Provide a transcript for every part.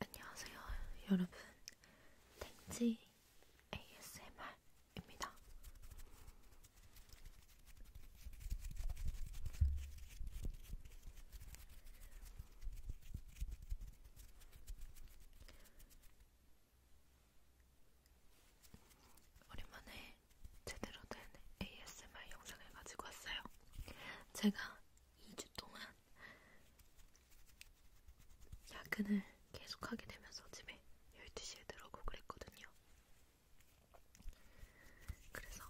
안녕하세요, 여러분. 탱지 ASMR입니다. 오랜만에 제대로 된 ASMR 영상을 가지고 왔어요. 제가 2주 동안 야근을 계속하게 되면서 집에 12시에 들어오고 그랬거든요. 그래서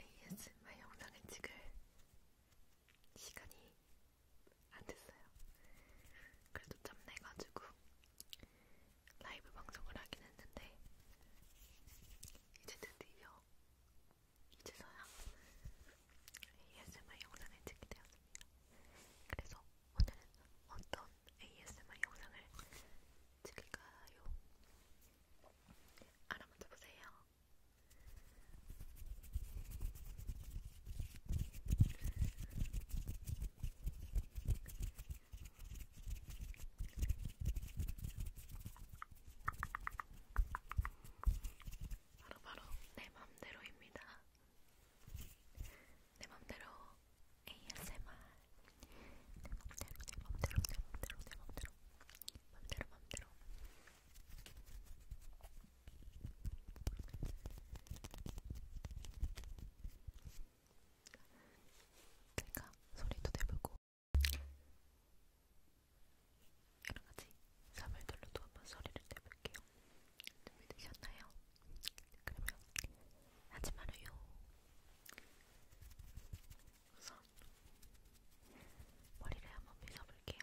ASMR 영상을 찍을 시간이 안 됐어요. 그래도 짬내가지고 라이브 방송을 하긴 했는데 이제 드디어 이제서야 ASMR 영상을 찍게 되었습니다. 그래서 오늘은 어떤 ASMR 영상을 찍을까요? 알아맞혀 보세요. 바로바로 내 맘대로입니다. 내 맘대로 ASMR 내 맘대로 내 맘대로 내 맘대로 내 맘대로 맘대로 맘대로 그러니까 소리도 내보고 여러 가지 사물들로도 한번 소리를 내볼게요. 준비되셨나요? 그러면 하지 말아요. 우선 머리를 한번 빗어볼게요.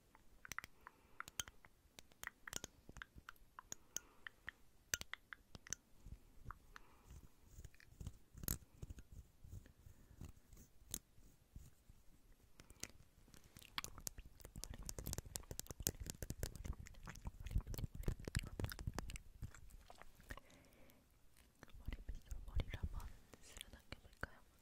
머리 빗으로 머리를 한번 쓸어 당겨볼까요?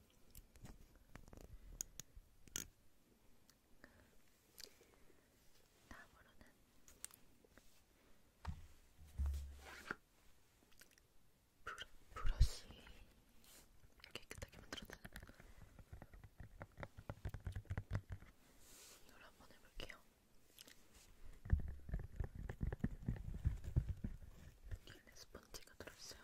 다음으로는 브러, 브러시 깨끗하게 만들어드는 이걸 한번 해볼게요. 얘네 스펀지가 들어있어요.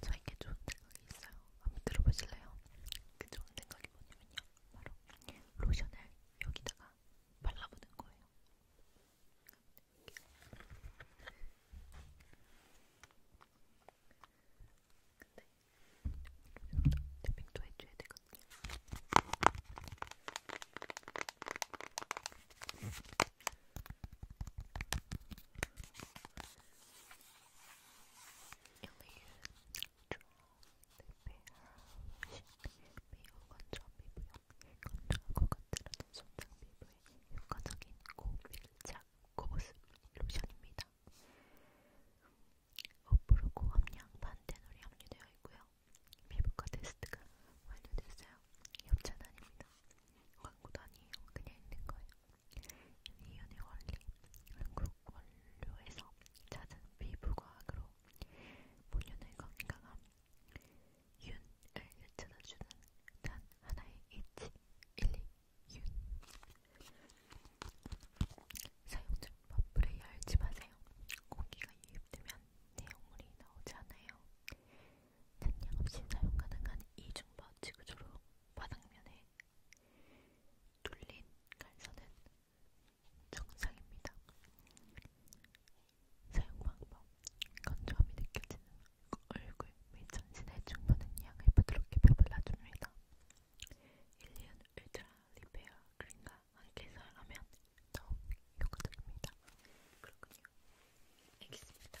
저에게 좋은 생각이 있어요. 한번 들어보실래요? 그 좋은 생각이 뭐냐면요. 바로 로션을 여기다가 발라보는 거예요. 근데 탭핑도 해줘야 되거든요. 피부에 효과적인 고밀착 고보습 로션입니다. 어프로 고함량 반테놀이 함유되어 있고요. 피부과 테스트가 완료됐어요. 협찬 아닙니다. 광고도 아니에요. 그냥 있는 거예요. 유니온의 원리, 한국 원료에서 찾은 피부과학으로 본연의 건강함, 윤을 되찾아주는 단 하나의 이치, 1, 2, 윤. 사용 중 버프를 열지 마세요. 공기가 유입되면 내용물이 나오지 않아요. 단량 없이 사용 가능한 이중버 지구조로 바닥면에 뚫린 갈선은 정상입니다. 사용 방법 건조함이 느껴지는 얼굴 및 전신에 충분한 양을 부드럽게 배불러줍니다. 일리언 울트라 리페어 크림과 함께 사용하면 더욱 효과적입니다. 그렇군요. 알겠습니다.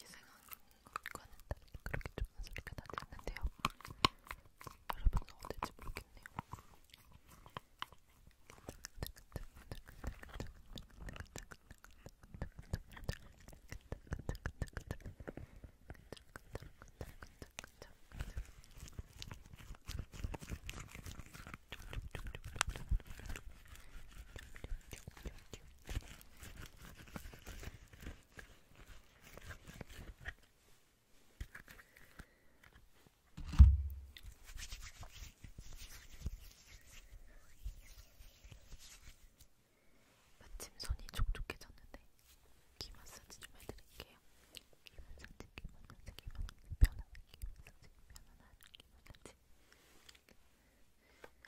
예상한 것과는 다르게 그렇게 좋은 소리가 나지 않는데요. 여러분은 어떨지 모르겠네요. 자, 마침 손이 촉촉해졌는데 귀 마사지 좀 해드릴게요. 귀 마사지, 귀 마사지, 귀 마사지, 편안한 귀 마사지, 편안한 귀 마사지.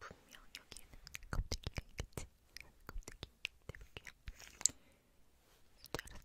분명 여기에는 껍데기가 있겠지? 껍데기 떼볼게요. 잘했어. 이렇게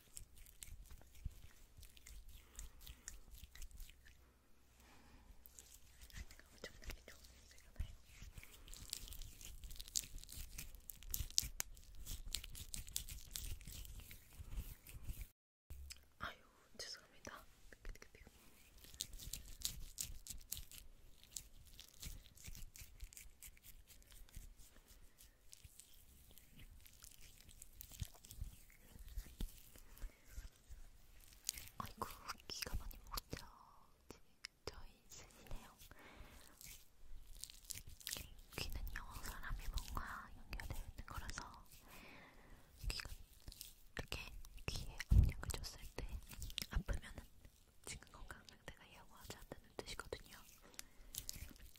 엄청나게 좋은 냄새가 나요. 아유, 죄송합니다. 아이고 귀가 많이 먹었죠. 저희 스시네요. 귀는요 사람이 뭔가 연결되어 있는 거라서 귀가 이렇게 귀에 압력을 줬을 때 아프면은 지금 건강 상태가 예고하지 않다는 뜻이거든요.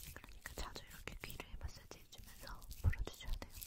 그러니까 자주 이렇게 귀를 마사지 해주면서 풀어주셔야 돼요. 네,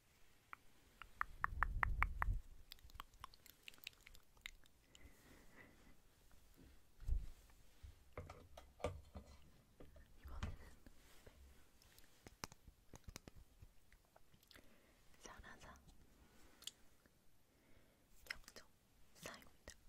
사라사 영정 사입니다. 따끔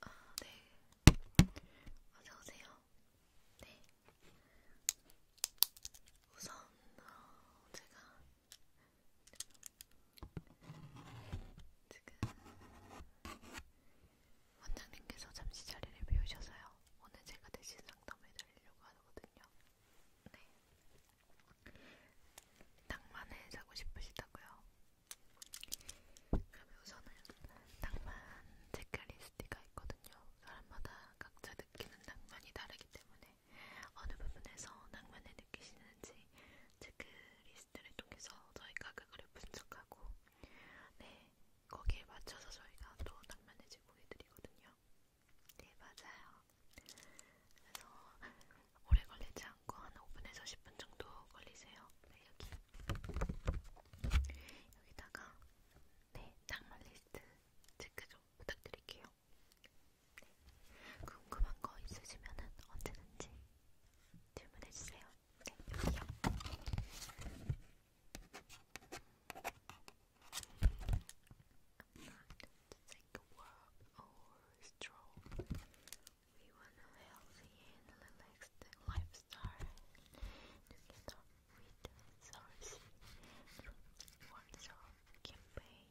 아, 네. 어서오세요. 네. 우선, 어, 제가 지금 원장님께서 잠시 자리를 비우셔서요. 오늘 제가 대신 상담해드리려고 하거든요. 있거든요. 네. 낭만을 사고 싶으시다고요? 그럼 우선은 낭만 체크리스트가 있거든요. 사람마다 각자 느끼는 낭만이 다르기 때문에 어느 부분에서 낭만을 느끼시는지 체크리스트를 그 통해서 저희가 그거를 분석하고 네 거기에 맞춰서 저희가 또 낭만을 제공해드리거든요. 네, 맞아요. 그래서 오래 걸리지 않고 한 5분에서 10분 정도 걸리세요. 네, 여기. 여기다가 네, 장만 리스트 체크 좀 부탁드릴게요. 네. 궁금한 거 있으시면은 언제든지 질문해 주세요. 네, 여기요. not take We want a healthy and relaxed lifestyle. Together with the source through campaign,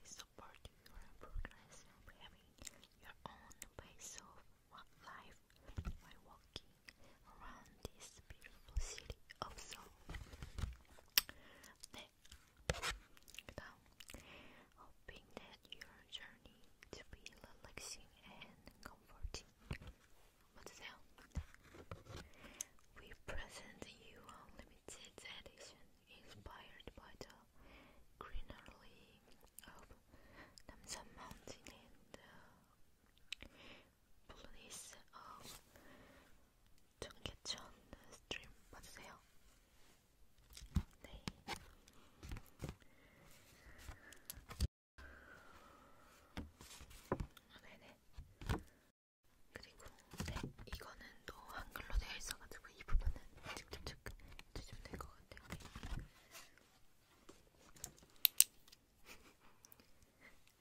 we support your progress of having your own pace of life by walking around this beautiful city of Seoul. hoping that your journey to be relaxing and comforting. 맞으세요? We present you a limited edition inspired by the greenery of the mountains in uh, 플리즈 of 어, 전개천 스트림 봐주세요. 네. 아, 네네. 그리고 네, 이거는 또 한글로 되어 있어가지고 이 부분은 직접 체크해주면 될것 같아요. 네.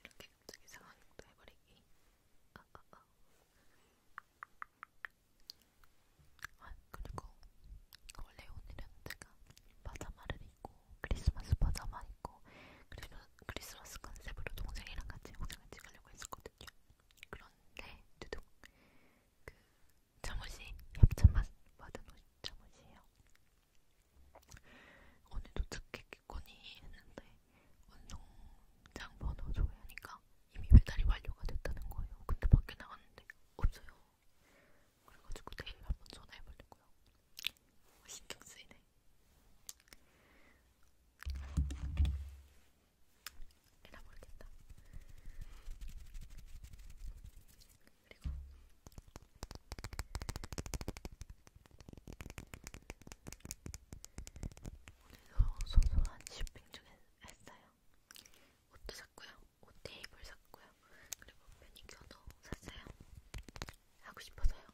이렇게 갑자기 상황극도 해버리기. 아, 아, 아. 아, 그리고 원래 오늘은 제가 바자마를 입고 크리스마스 바자마 입고 그리고 크리스마스 컨셉으로 동생이랑 같이 영상을 찍으려고 했었거든요. 그런데 두둥 그 잠옷이 협찬만 받은 옷 잠옷이에요. 오늘 도착했겠거니 했는데 운송장 번호 조회하니까 이미 배달이 완료가 됐다는 거예요. 근데 밖에 나갔는데 없어요. 그래가지고 내일 한번 전화해보려고요. 아, 신경 쓰이네. 에라 모르겠다. 그리고 오늘도 소소한 쇼핑 중에 했어요. 옷도 샀고요, 옷 테이블 샀고요, 그리고 매니큐어도 샀어요. 하고 싶어서요.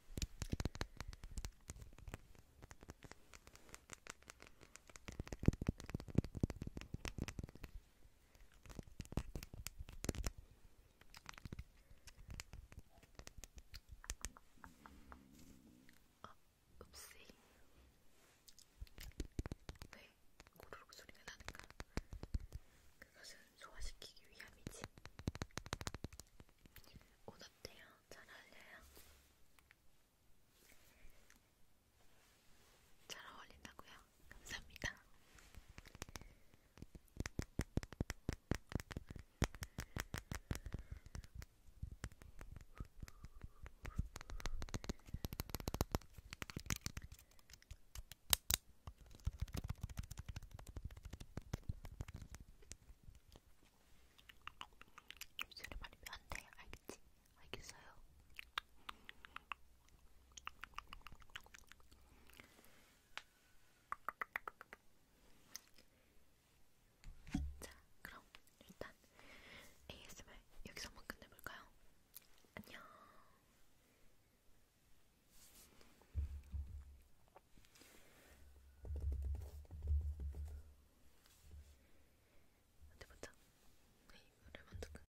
아, 읍시. 네, 고르륵 소리가 나는가? 그것은 소화시키기 위함이지. 옷 어때요? 잘 어울려요? 잘 어울린다고요? 감사합니다. 입술이 말리면 안 돼. 알겠지? 알겠어요. 자, 그럼 일단 ASMR 여기서 한번 끝내볼까요? 안녕. 어디 보자. 네, 이거를 먼저 끝.